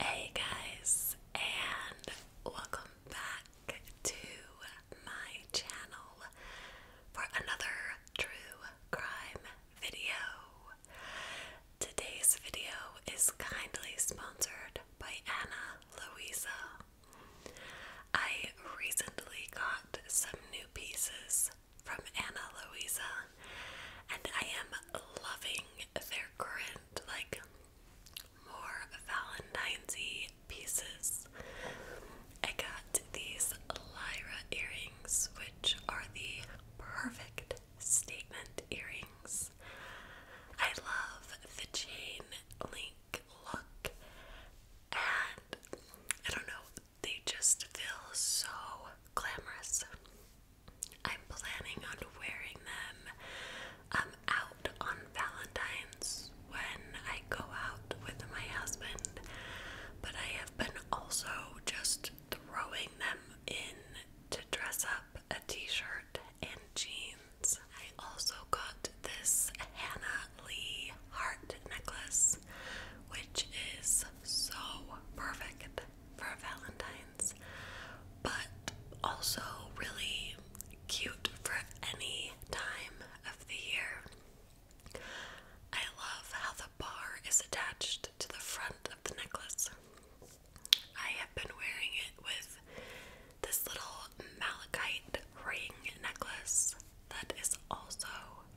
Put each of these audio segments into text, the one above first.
Hey guys, and welcome back to my channel for another true crime video. Today's video is kindly sponsored by Anna Louisa. I recently got some new pieces from Anna Louisa and I am loving their current, like, more valentines pieces. I got these Lyra earrings, which are the perfect statement earrings. I love the chain link look, and I don't know, they just feel so glamorous. I'm planning on wearing them um, out on Valentine's when I go out with my husband, but I have been also just throwing them in to dress up a t shirt and jeans. I also got this Hannah Lee heart necklace, which is so perfect for Valentine's, but also really cute for any time of the year. I love how the bar is attached to the front of the necklace. I have been wearing it with this little malachite ring necklace that is also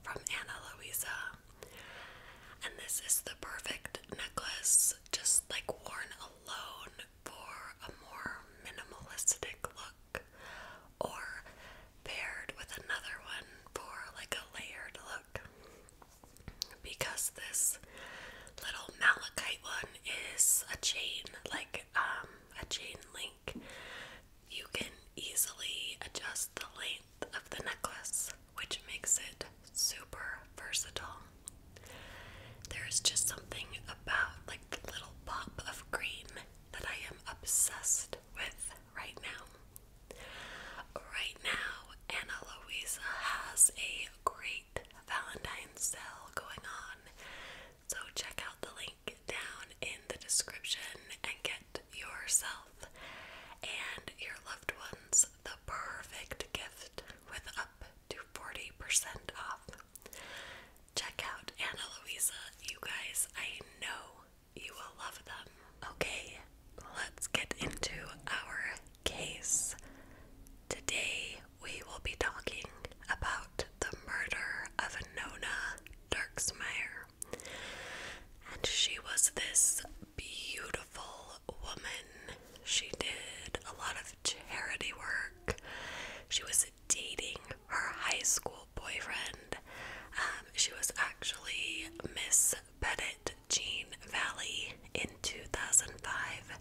from Anna Luisa. And this is the perfect necklace just like worn alone for a more minimalistic look, or paired with another one for like a layered look. Because this little malachite one is a chain, like um, a chain link, you can easily adjust the length of the necklace which makes it super versatile. There's just something about like the little pop of green that I am obsessed with right now. Right now, Anna Luisa has a great Valentine's sale going on. So check out the link down in the description and get yourself and your loved ones the perfect gift with up to 40% off. Check out Ana Luisa, you guys. I know you will love them. Okay, let's get into our case. Today we will be talking about the murder of Nona Dirksmeyer. And she was this beautiful woman she did a lot of charity work. She was dating her high school boyfriend. Um, she was actually Miss Pettit Jean Valley in 2005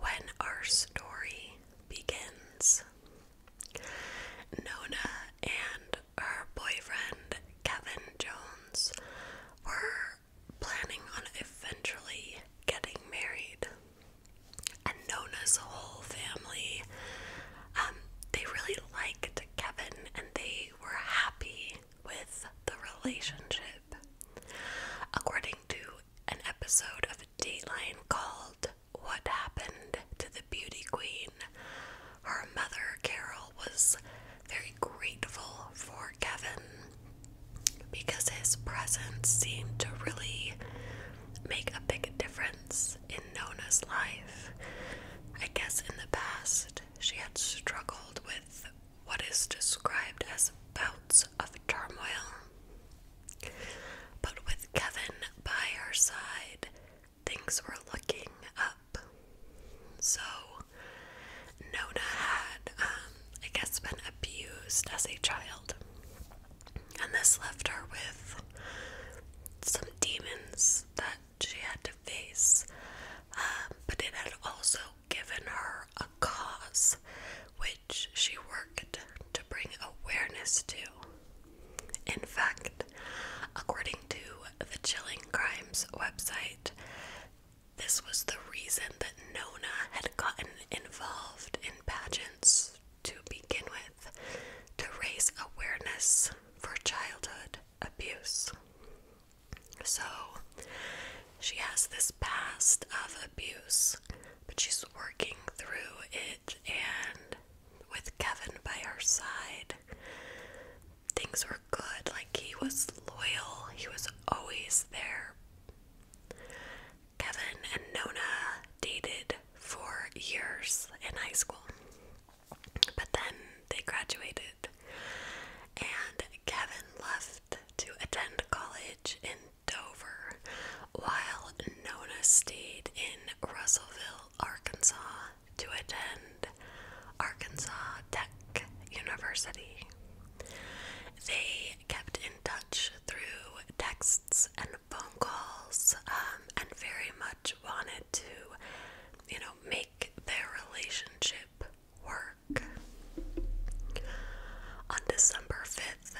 when our story begins. Nona and her boyfriend Kevin Jones were planning on eventually getting married. And Nona's whole family, um, they really liked Kevin and they were happy with the relationship. According to an episode of Dateline called What Happened to the Beauty Queen, her mother, Carol, was very grateful for Kevin because his presence seemed to really make a big difference in Nona's life. I guess in the past, she had struggled with what is described as bouts of turmoil. But with Kevin by her side, things were looking up. So Nona had, um, I guess, been abused as a child, and this left her with some demons that she had to face. Um, but it had also given her a cause which she worked to bring awareness to. In fact, according to the Chilling Crimes website, this was the reason that Nona had gotten involved in pageants to begin with, to raise awareness for childhood abuse. So she has this past of abuse, but she's working through it, and with Kevin by her side, things were good. Like, he was loyal, he was always there Kevin and Nona dated for years in high school, but then they graduated, and Kevin left to attend college in Dover while Nona stayed in Russellville, Arkansas to attend Arkansas Tech University. They kept in touch through texts and phone calls um, and very much wanted to, you know, make their relationship work. On December 5th,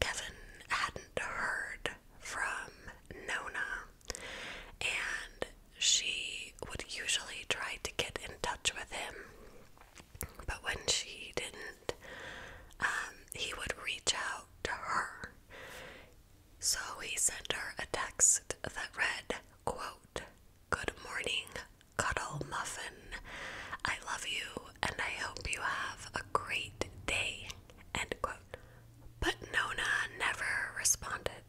Kevin hadn't heard from Nona, and she would usually try to get in touch with him but when she didn't, um, he would reach out to her. So he sent her a text that read, quote, Good morning, Cuddle Muffin. I love you and I hope you have a great day. End quote. But Nona never responded.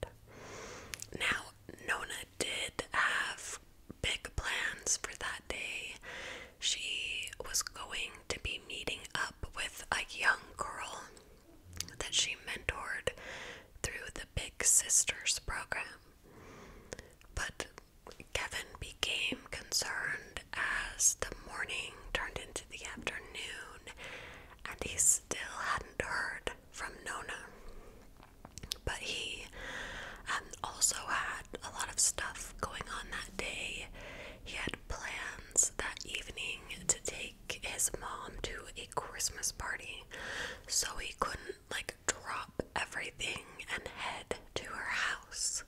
Now, Nona did have big plans for that day. She was going to be meeting up with a young girl that she mentored through the Big Sisters program. But Kevin became concerned as the morning turned into the afternoon and he still hadn't heard from Nona. But he um, also had a lot of stuff going on that day. He had plans that evening to take his mom to a Christmas party, so he couldn't like drop everything and head to her house.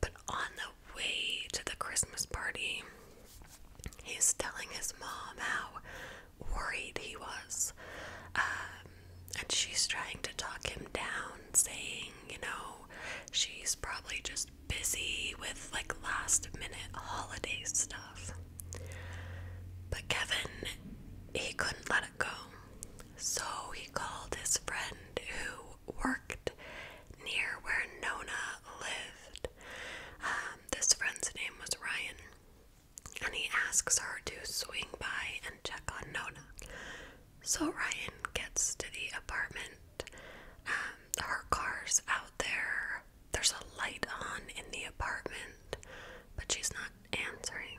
But on the way to the Christmas party, he's telling his mom how worried he was. Um, and she's trying to talk him down, saying, you know, she's probably just busy with like last minute holiday stuff. But Kevin, he couldn't let it go. So he called his friend who worked near where Nona lived. Um, this friend's name was Ryan and he asks her to swing by and check on Nona. So Ryan gets to the apartment. Um, her car's out there. There's a light on in the apartment, but she's not answering.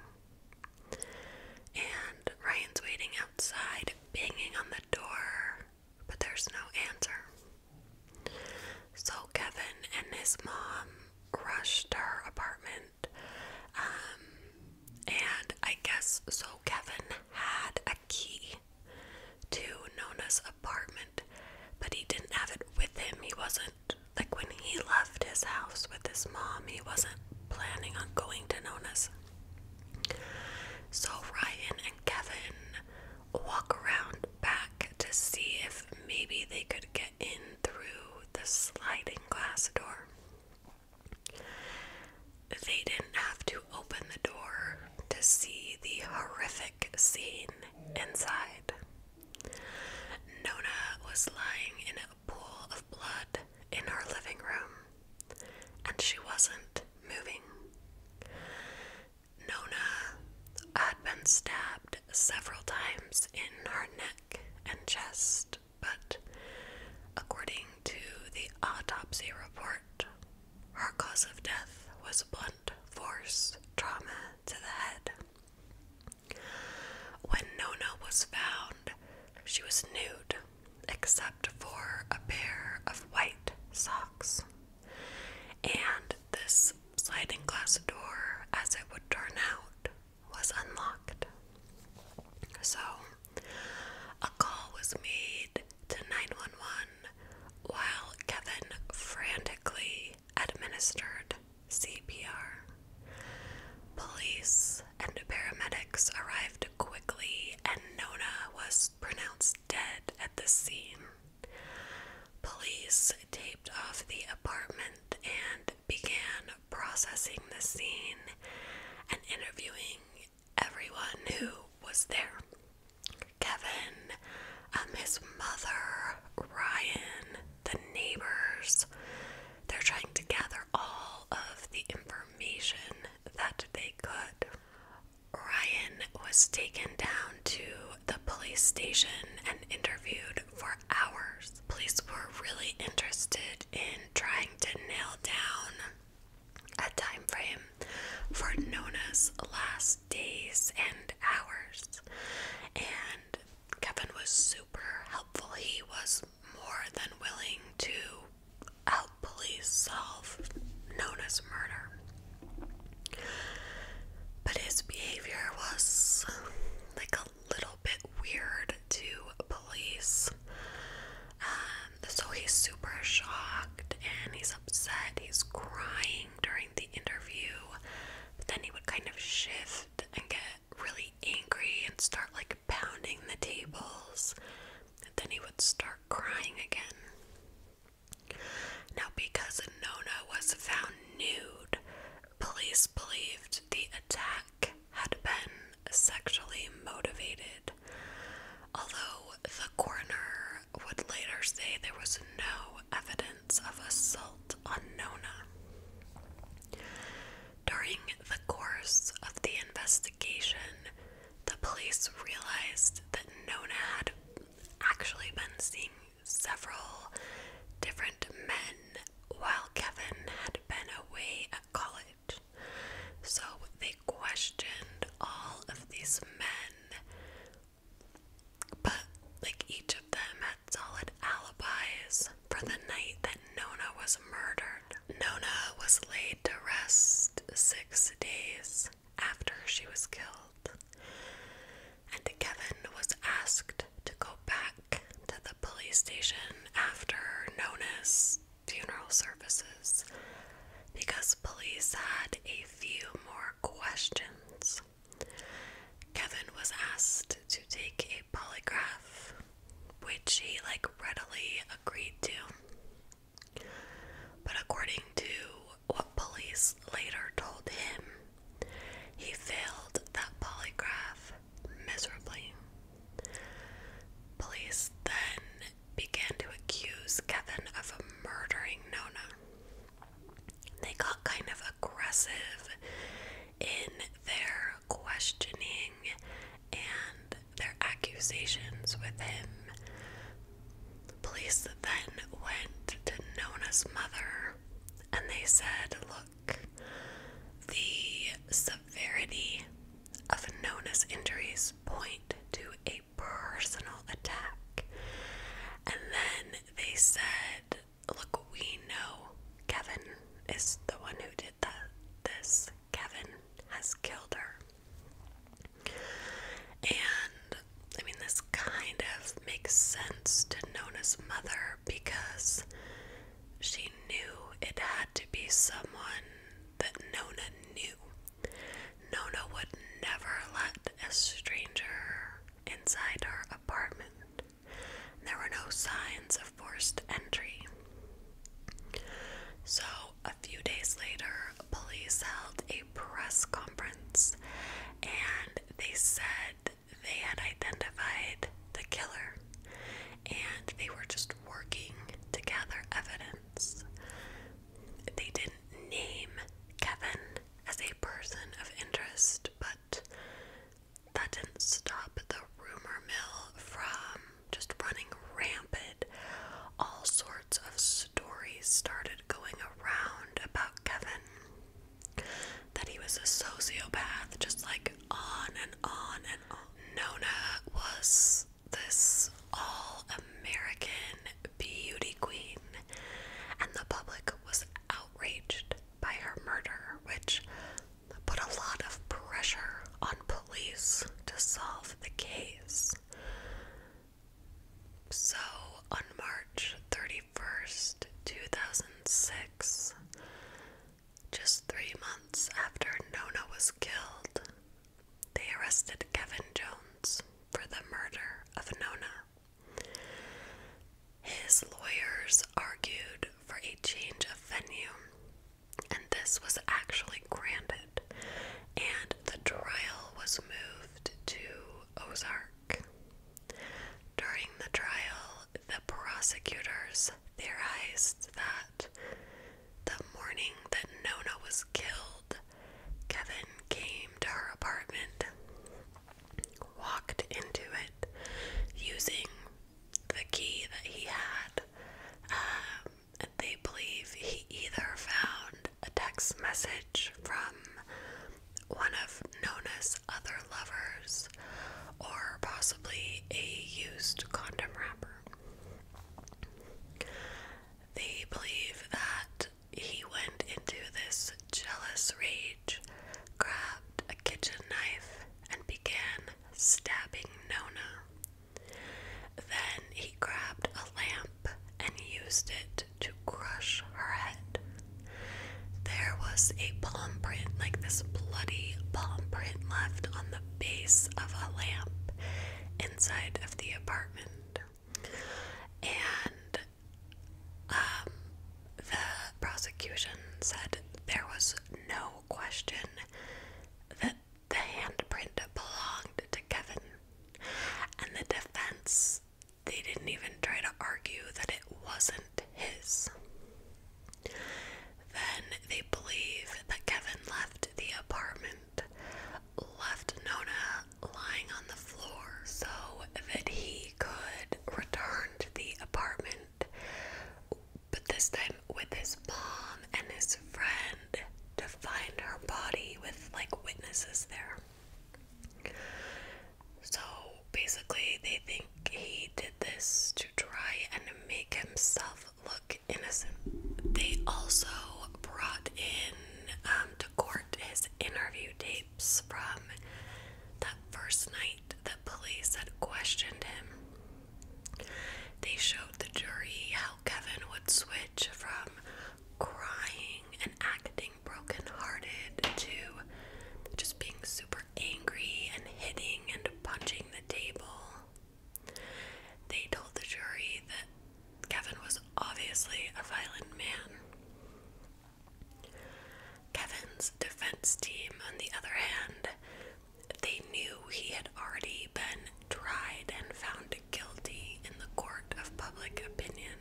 And Ryan's waiting outside, banging on the door, but there's no answer. So Kevin and his mom rush to her apartment um, and I guess so. Kevin had a key to Nona's apartment, but he didn't have it with him. He wasn't, like, when he left his house with his mom, he wasn't planning on going to Nona's. So Ryan and Kevin walk around back to see if maybe they could get in through the sliding glass door. They didn't have to open the door to see the horrific scene inside. Nona was lying in a pool of blood in our living room, and she wasn't moving. Nona had been stabbed several times in her neck and chest but according to the autopsy report, her cause of death was blunt force trauma to the head. When Nona was found, she was nude except for a pair of white socks. And this sliding glass door, as it would turn out, was unlocked. So, a call was made to 911 while Kevin frantically administered CPR. Police and paramedics arrived quickly, and Nona was pronounced dead at the scene. Police taped off the apartment and began processing the scene and interviewing everyone who was there Kevin, um, his mother, Ryan, the neighbors. They're trying to gather all of the information that they could. Ryan was taken down to the police station and interviewed for hours. Police were really interested in trying to nail down a time frame for Nona's last days and hours. And Kevin was super helpful. He was more than willing to help police solve Nona's murder. But his behavior was like a little bit weird to police. Um, so he's super shocked and he's upset. He's crying during the interview. then he would kind of shift and get really angry and start like pounding the tables. And then he would start crying again. Now, because Nona was found nude, police believed the attack had been sexually motivated, although the coroner would later say there was no evidence of assault on Nona. During the course of the investigation, the police realized that Nona had actually been seeing several different men while Kevin had been away at college. So they questioned all of these men, but like each of them had solid alibis for the night that Nona was murdered. Nona was laid to rest six days after she was killed, and Kevin was asked to go back to the police station after Nona's funeral services because police had a few more questions. Kevin was asked to take a polygraph, which he like readily agreed to. But according to what police later told him, he failed that polygraph miserably. Police then began to accuse Kevin of murdering Nona. They got kind of aggressive in their questioning and their accusations with him. Police then went to Nona's mother and they said, Look, the severity of Nona's injuries point to a personal attack. And then they said, Look, we know Kevin is the one who did that. This Kevin has killed her. And I mean, this kind of makes sense to Nona's mother because she knew it had to be someone that Nona knew. Nona would never let a stranger inside her apartment. There were no signs of forced entry. So, a few days later, police held a press conference and they said they had identified the killer and they were just working to gather evidence. They didn't name Kevin as a person of interest, but that didn't stop the rumor mill from just running rampant. All sorts of stories started going around about Kevin that he was a sociopath, just like on and on and on. Nona was this all American beauty queen, and the public was outraged by her murder, which put a lot of pressure on police to solve the case. So, on March 31st, 2006, just three months after Nona was killed, they arrested Kevin Jones for the murder of Nona. His lawyers argued for a change of venue, and this was actually granted, and the trial was moved to Ozark. During the trial, the prosecutors theorized that the morning that Nona was killed, Kevin came to her apartment, walked into it using the key that he had, um, and they believe he either found a text message from one of Nona's other lovers or possibly a used condom wrapper. They believe that he went into this jealous rage, grabbed a kitchen knife, and began stabbing Nona. Then he grabbed a lamp and used it to crush her head. There was a bomb print, like this bloody palm print left on the base of a lamp inside of the apartment. And um, the prosecution said there was no question that the handprint belonged to Kevin. And the defense, they didn't even try to argue that it wasn't his. Then they believe that Kevin left the apartment, left Nona lying on the floor so that he could return to the apartment, but this time with his mom and his friend to find her body with like witnesses there. So basically, they think he this to try and make himself look innocent. They also brought in um, to court his interview tapes from that first night the police had questioned him. They showed the jury how Kevin would switch from crying and acting brokenhearted to just being super angry and hitting and punching the table. They told the jury that Kevin was obviously a violent man. Kevin's defense team, on the other hand, they knew he had already been tried and found guilty in the court of public opinion,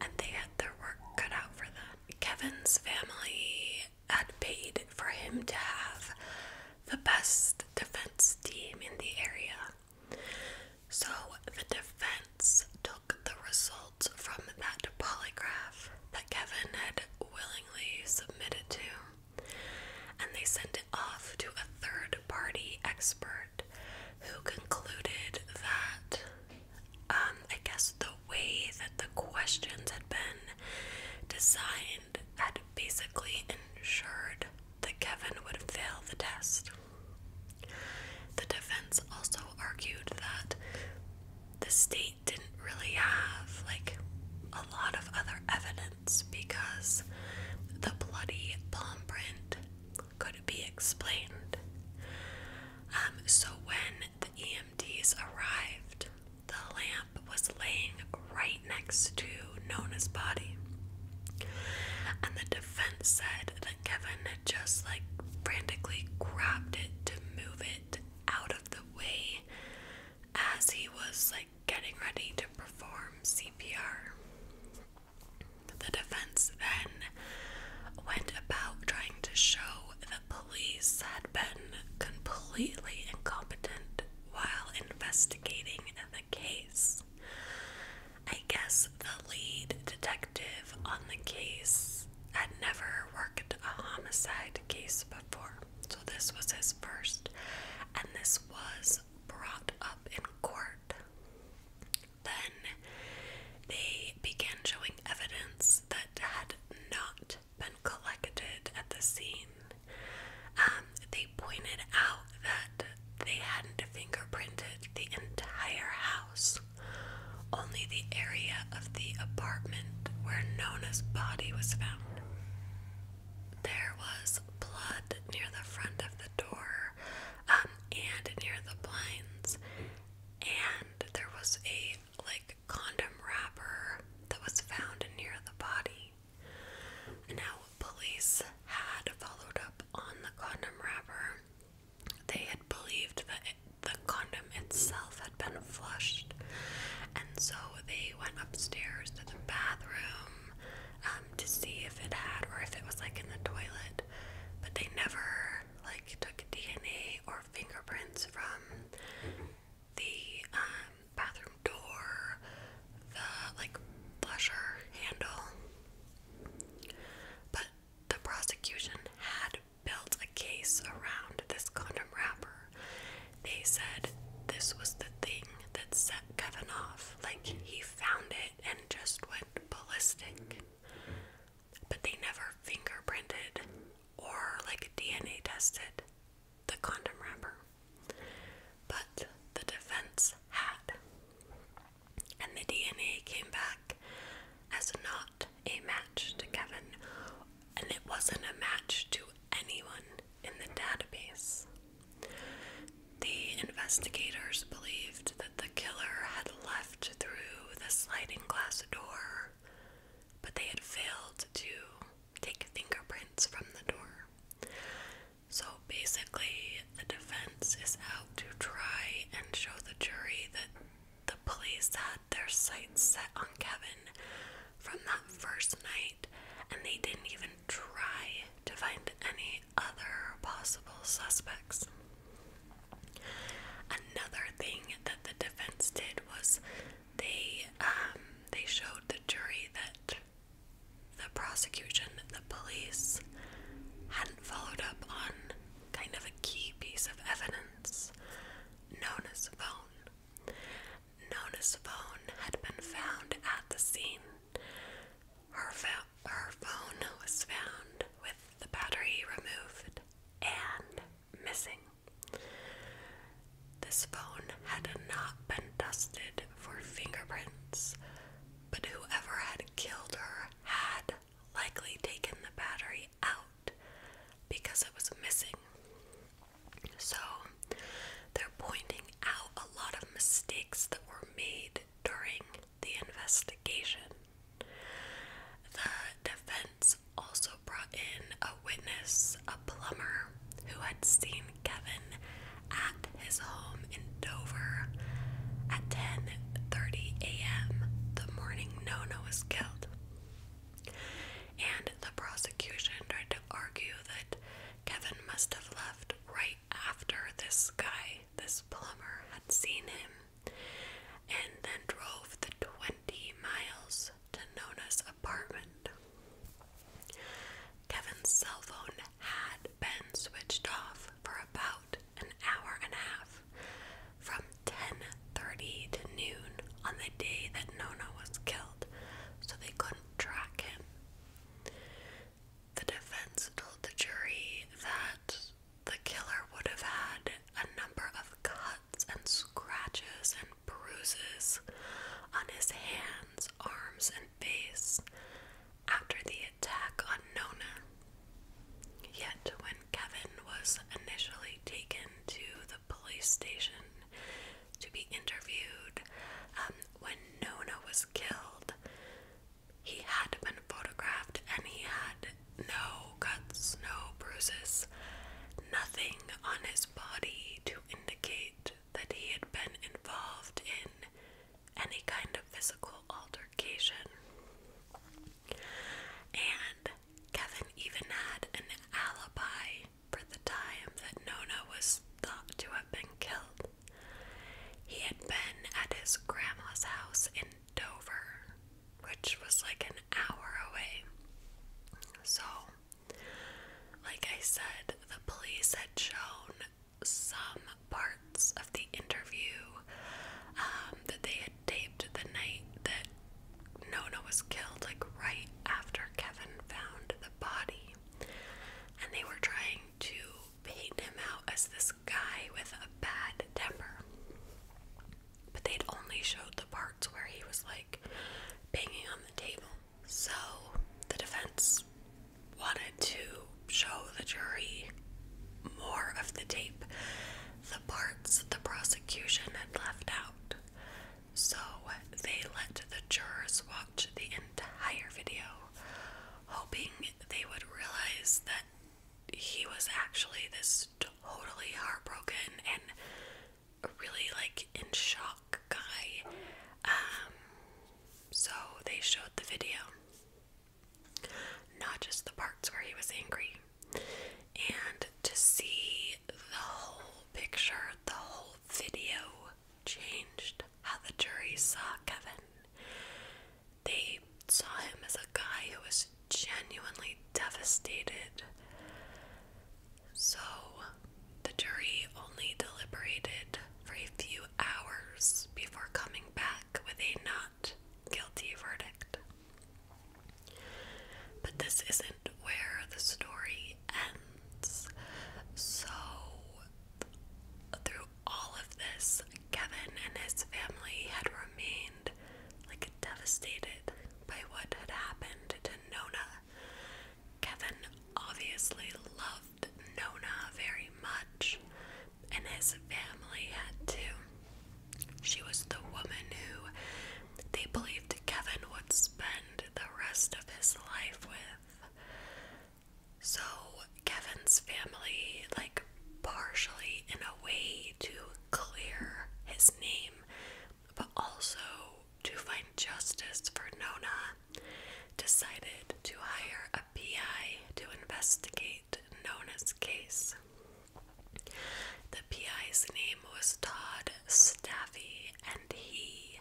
and they had their work cut out for them. Kevin's family had paid for him to have the best defense team in the area. So the defense took the results from that polygraph that Kevin had willingly submitted to, and they sent it off to a third party expert who concluded that, um, I guess, the the way that the questions had been designed had basically ensured that Kevin would fail the test. The defense also argued that the state didn't really have like a lot of other evidence because the bloody palm print could be explained. Um, so when the EMTs arrived, the lamp was laying right next to Nona's body. And the defense said that Kevin had just like frantically grabbed it to move it out of the way as he was like getting ready to perform CPR. The defense then went about trying to show that police had been completely incompetent while investigating the case. I guess the lead detective on the case had never worked a homicide case before, so this was his first, and this was brought up in court. Then they began showing evidence that had not been collected at the scene. Um, they pointed out that they hadn't fingerprinted the entire house, only the area of the apartment where Nona's body was found. There was blood near the front of the door um, and near the blinds, and there was a like condom wrapper that was found near the body. Now, police had followed up on the condom wrapper. They had believed that the condom itself had been flushed, and so they went upstairs to the bathroom um, to see if it had or if it was like in the toilet. But they never like took DNA or fingerprints from the um, bathroom door, the like flusher handle. But the prosecution had built a case around this condom wrapper. They said this was the thing that set Kevin off. Like he found it and just went ballistic. But they never fingerprinted or like DNA tested the condom wrapper. But the defense had. And the DNA came back as not a match to Kevin, and it wasn't a match to anyone in the database. The investigators believed that the killer had left through the sliding glass door, but they had failed to take fingerprints from the door. So basically, the defense is out to try and show the jury that the police had their sights set on Kevin from that first night, and they didn't even try to find any other possible suspects. Another thing that the defense did was they um, they showed the jury that the prosecution, the police, hadn't followed up on kind of a key piece of evidence known as phone. Nona's phone had been found at the scene. Her, her phone was found with the battery removed and missing. This phone had not been dusted for fingerprints, but whoever had killed her had likely taken the battery out because it was missing. So, they're pointing out a lot of mistakes that were made during the investigation. The defense also brought in a witness, a plumber, who had seen Kevin at his home in Dover at 10:30 a.m. the morning Nona was killed. And the prosecution tried to argue that Kevin must have left right after this guy, this plumber, had seen him and then drove the 20 miles to Nona's Kevin's cell phone had been switched off for about an hour and a half from 10:30 to noon on the day that Nona was killed, so they couldn't track him. The defense told the jury that the killer would have had a number of cuts and scratches and bruises on his hands, arms, and face after the attack on Nona. Yet, when Kevin was initially taken to the police station to be interviewed, um, when Nona was killed, he had been photographed and he had no cuts, no bruises, nothing on his body to indicate that he had been involved in any kind of physical altercation. And Kevin even had an alibi for the time that Nona was thought to have been killed. He had been at his grandma's house in Dover, which was like an hour away. So like I said, the police had shown some parts of the interview um, that they had taped the night that Nona was killed, like right after Kevin found the body. And they were trying to paint him out as this guy with a bad temper. But they'd only showed the parts where he was like banging on the table. So the defense wanted to show the jury more of the tape, the parts the prosecution had left out. So they let the jurors watch the entire video, hoping they would realize that he was actually this totally heartbroken and really like in shock guy. Um, so they showed the video, not just the parts where he was angry, and to see the whole picture, the whole video changed how the jury saw Kevin. They saw him as a guy who was genuinely devastated so the jury only deliberated for a few hours before coming back with a not guilty verdict. But this isn't where the story ends. So, through all of this, Kevin and his family had remained like devastated by what had happened to Nona Kevin obviously loved Nona very much, and his family had to. She was the woman who they believed Kevin would spend the rest of his life with. So, Kevin's family, like, partially in a way to clear his name, but also to find justice for Nona, decided to hire a PI to investigate Nona's case. The PI's name was Todd Staffy, and he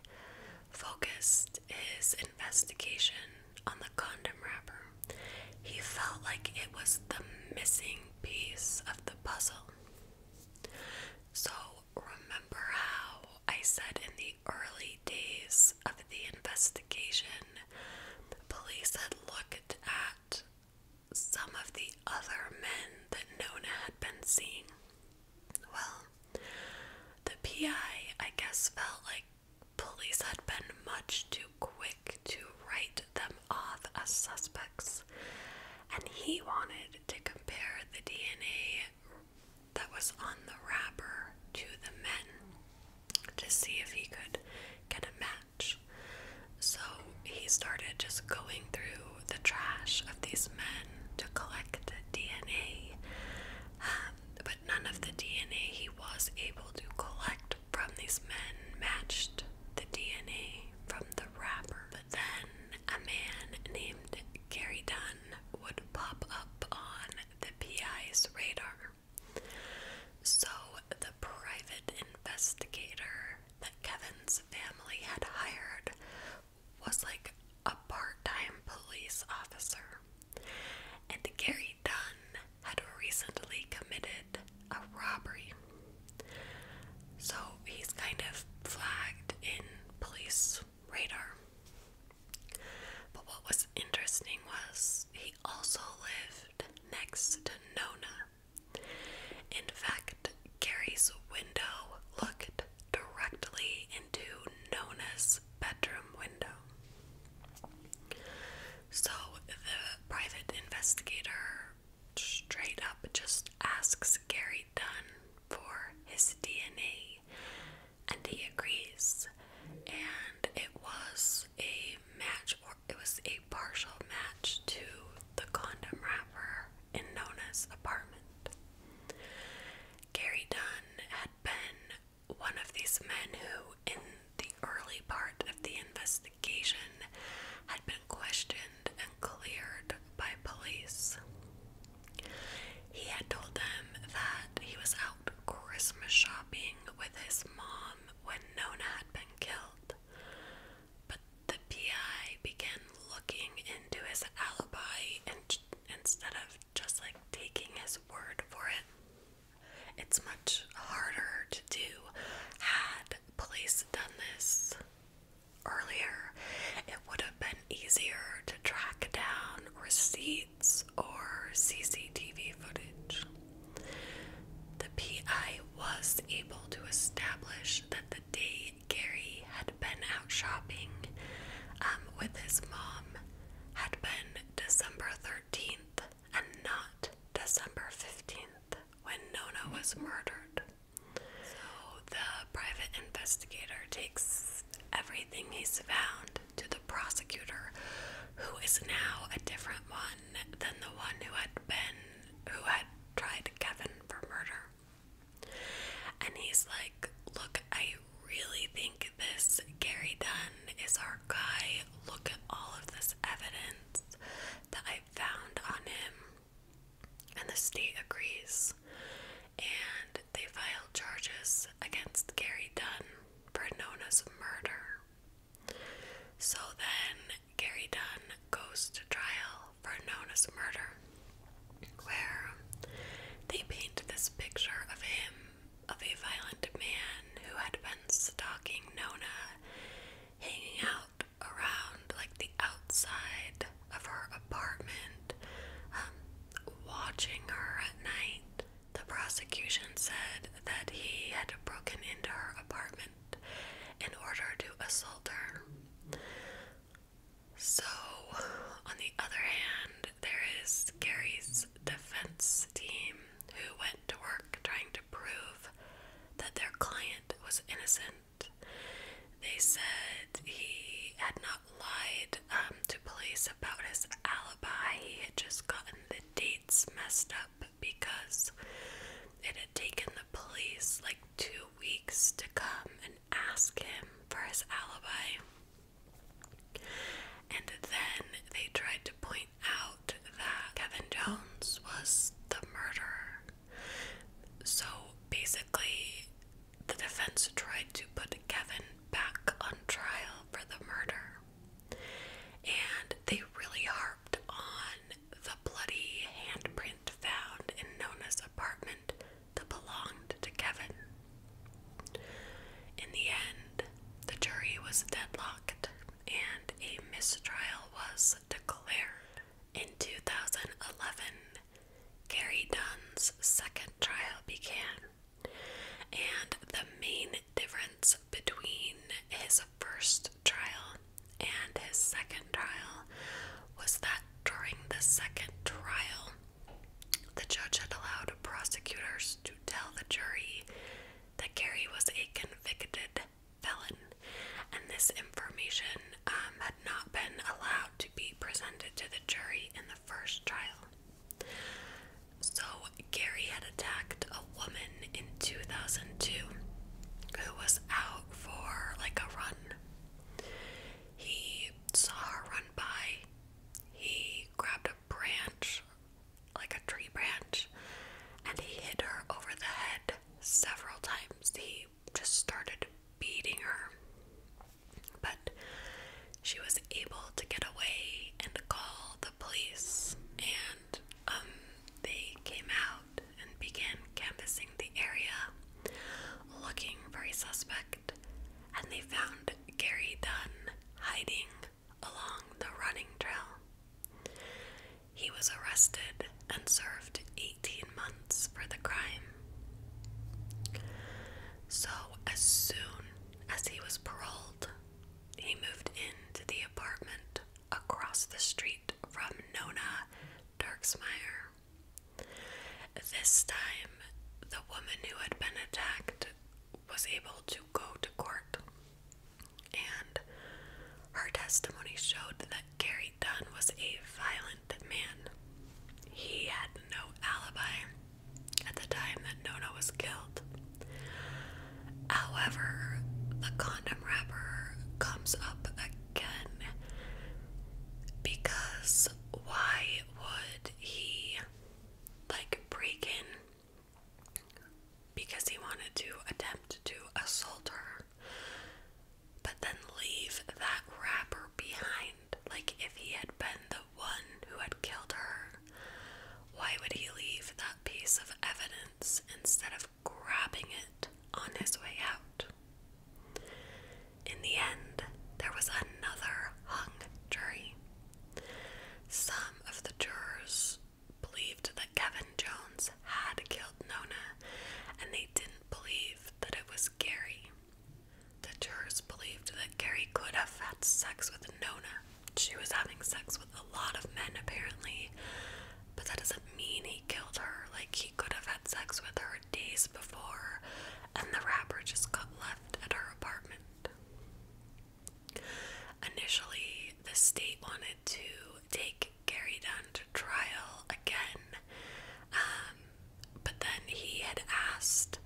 focused his investigation on the condom wrapper. He felt like it was the missing piece of the puzzle. So, remember how I said in the early days of the investigation, police had looked at some of the other men that Nona had been seeing? Well, the PI, I guess, felt like police had been much too quick to write them off as suspects and he wanted to compare the DNA that was on the wrapper to the men to see if he could get a match. So he started just going through the trash of these men to collect DNA, um, but none of the DNA he was able to collect from these men matched the DNA from the wrapper. But then a man named Gary Dunn would pop up on the PI's radar. So, the private investigator that Kevin's family had hired was like a part time police officer. And Gary Dunn had recently committed a robbery. So he's kind of flagged in police radar. But what was interesting was he also lived next to Nona. In fact, Gary's window looked directly into Nona's bedroom window. So the private investigator straight up just asks Gary Dunn for his DNA, and he agrees. And it was a match, or it was a partial match to the condom wrapper in Nona's apartment. Gary Dunn had been one of these men who, in the early part of the investigation, had been questioned and cleared by police. He had told them that he was out Christmas shopping with his mom when Nona had been killed, but the PI began looking into his alibi and instead of just like taking his word for it. It's much harder to do had police done this earlier, it would have been easier to track down receipts or CCTV footage. The PI was able to establish that the day Gary had been out shopping um, with his mom had been December 13th and not December 15th when Nona was murdered. So the private investigator takes everything he's found to the prosecutor, who is now a different one than the one who had been who had tried Kevin for murder. And he's like, Look, I really think this Gary Dunn is our guy. Look at all of this evidence that I found on him and the state agrees. And they filed charges against Gary Dunn for Nona's murder. So then Gary Dunn goes to trial for Nona's murder, where they paint this picture of him, of a violent man who had been stalking Nona, hanging out around like the outside of her apartment, um, watching her at night. The prosecution said that he had broken into her apartment in order to assault her. So, on the other hand, there is Gary's defense team who went to work trying to prove that their client was innocent they said he had not lied um, to police about his alibi. He had just gotten the dates messed up because it had taken the police like two weeks to come and ask him for his alibi. And then they tried to point out that Kevin Jones was the murderer. So basically, the defense tried to put Kevin back on trial for the murder. And they really harped on the bloody handprint found in Nona's apartment that belonged to Kevin. In the end, the jury was deadlocked and a mistrial was declared. In 2011, Gary Dunn's second trial began, and the main difference between his first trial and his second trial was that during the second trial, the judge had allowed prosecutors to tell the jury that Gary was a convicted felon, and this information um, had not been allowed to be presented to the jury in the first trial. So, Gary had attacked a woman in 2002 who was out for like a run. He saw her run by, he grabbed a branch, like a tree branch, and he hit her over the head several times. He just started beating her. But she was able to get away and call the police, and um, they came out and began canvassing the area, looking for a suspect, and they found Gary Dunn hiding along the running trail. He was arrested and served 18 months for the crime. So, as soon as he was paroled, he moved into the apartment across the street from Nona Darksmeyer. This time, the woman who had been attacked was able to go to court, and her testimony showed that Gary Dunn was a violent that man, he had no alibi at the time that Nona was killed. However, the condom wrapper comes up again because why would he like break in because he wanted to attempt to assault her? but then leave that wrapper behind. Like, if he had been the one who had killed her, why would he leave that piece of evidence instead of grabbing it on his way out? In the end, there was another hung jury. Some of the jurors believed that Kevin Jones had killed Nona, and they didn't believe that it was Gary. The jurors believed that Gary could have had sex with Nona. She was having sex with a lot of men, apparently, but that doesn't mean he killed her. Like, he could have had sex with her days before, and the rapper just got left at her apartment. Initially, the state wanted to take Gary down to trial again um, but then he had asked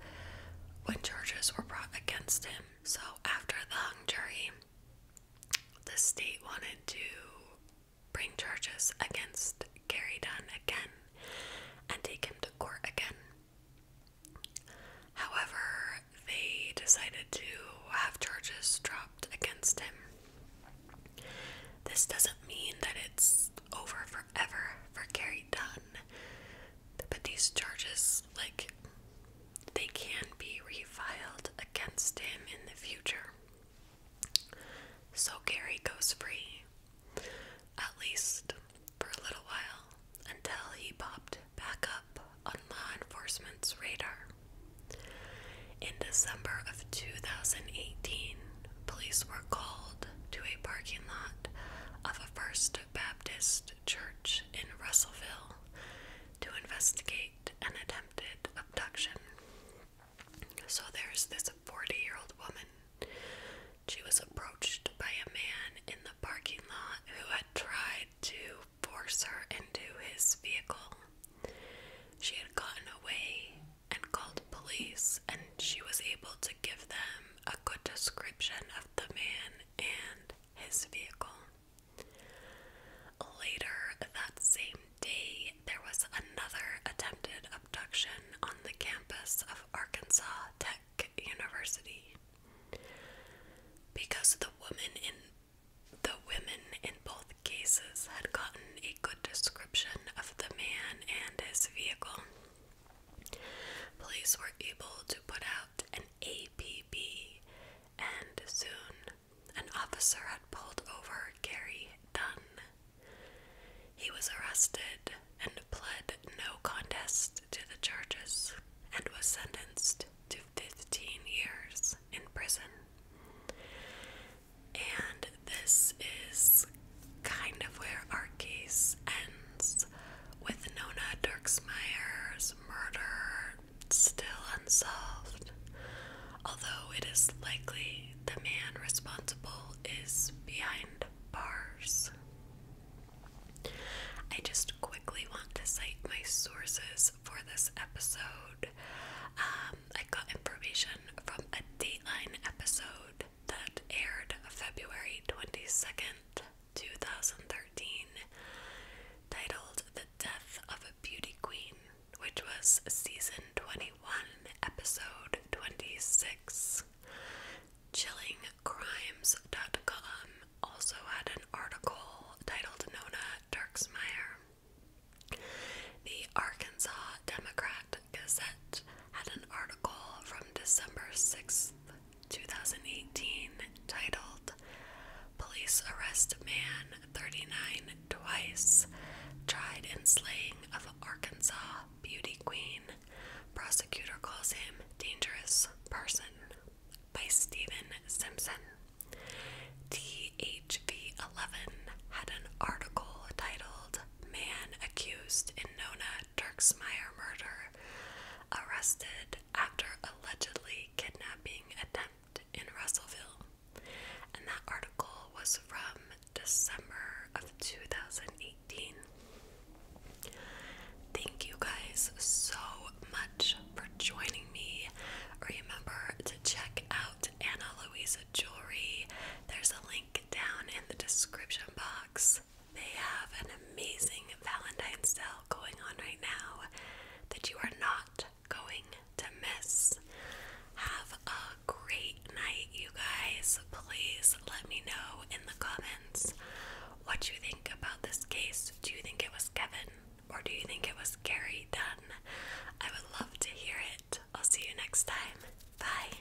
when charges were brought against him. So after the hung jury, the state wanted to bring charges against Gary Dunn again and take him to court again. However, they decided to have charges dropped against him. This doesn't mean that it's over for forever for Gary Dunn. But these charges, like, they can be refiled against him in the future. So Gary goes free, at least for a little while, until he popped back up on law enforcement's radar. In December of 2018, police were called to a parking lot of a First Baptist church in Russellville to investigate an attempted abduction. So there's this 40 year old woman. She was approached by a man in the parking lot who had tried to force her into his vehicle. She had gotten away and called police, and she was able to give them a good description of the man and his vehicle. Later that same day, there was another attempted abduction on the campus of Arkansas Tech University. Because the woman in the women in both cases had gotten a good description of the man and his vehicle. Police were able to put out an APB, and soon an officer had pulled over Gary Dunn. He was arrested and pled no contest to the charges and was sentenced to 15 years in prison. And this is kind of where our case ends with Nona Dirksmeyer's murder still unsolved. Although it is likely the man responsible is behind bars. I just quickly want to cite my sources for this episode. Um, I got information from a Dateline episode, that aired February 22nd, 2013, titled The Death of a Beauty Queen, which was season 21, episode 26. Chilling Crimes dot com also had an article titled Nona Darksmeyer. The Arkansas Democrat Gazette had an article from December 6th, 2018, titled Police Arrest Man 39 Twice, Tried in Slaying of Arkansas Beauty Queen. Prosecutor calls him Dangerous Person by Stephen Simpson. THV11 had an article titled man accused in Nona Dirksmeyer murder, arrested after allegedly kidnapping attempt in Russellville. And that article was from December of 2018. Thank you guys so much for joining me. Remember to check out Anna Luisa Jewelry. There's a link down in the description box they have an amazing Valentine's sale going on right now that you are not going to miss. Have a great night, you guys. Please let me know in the comments what you think about this case. Do you think it was Kevin or do you think it was Gary Dunn? I would love to hear it. I'll see you next time. Bye.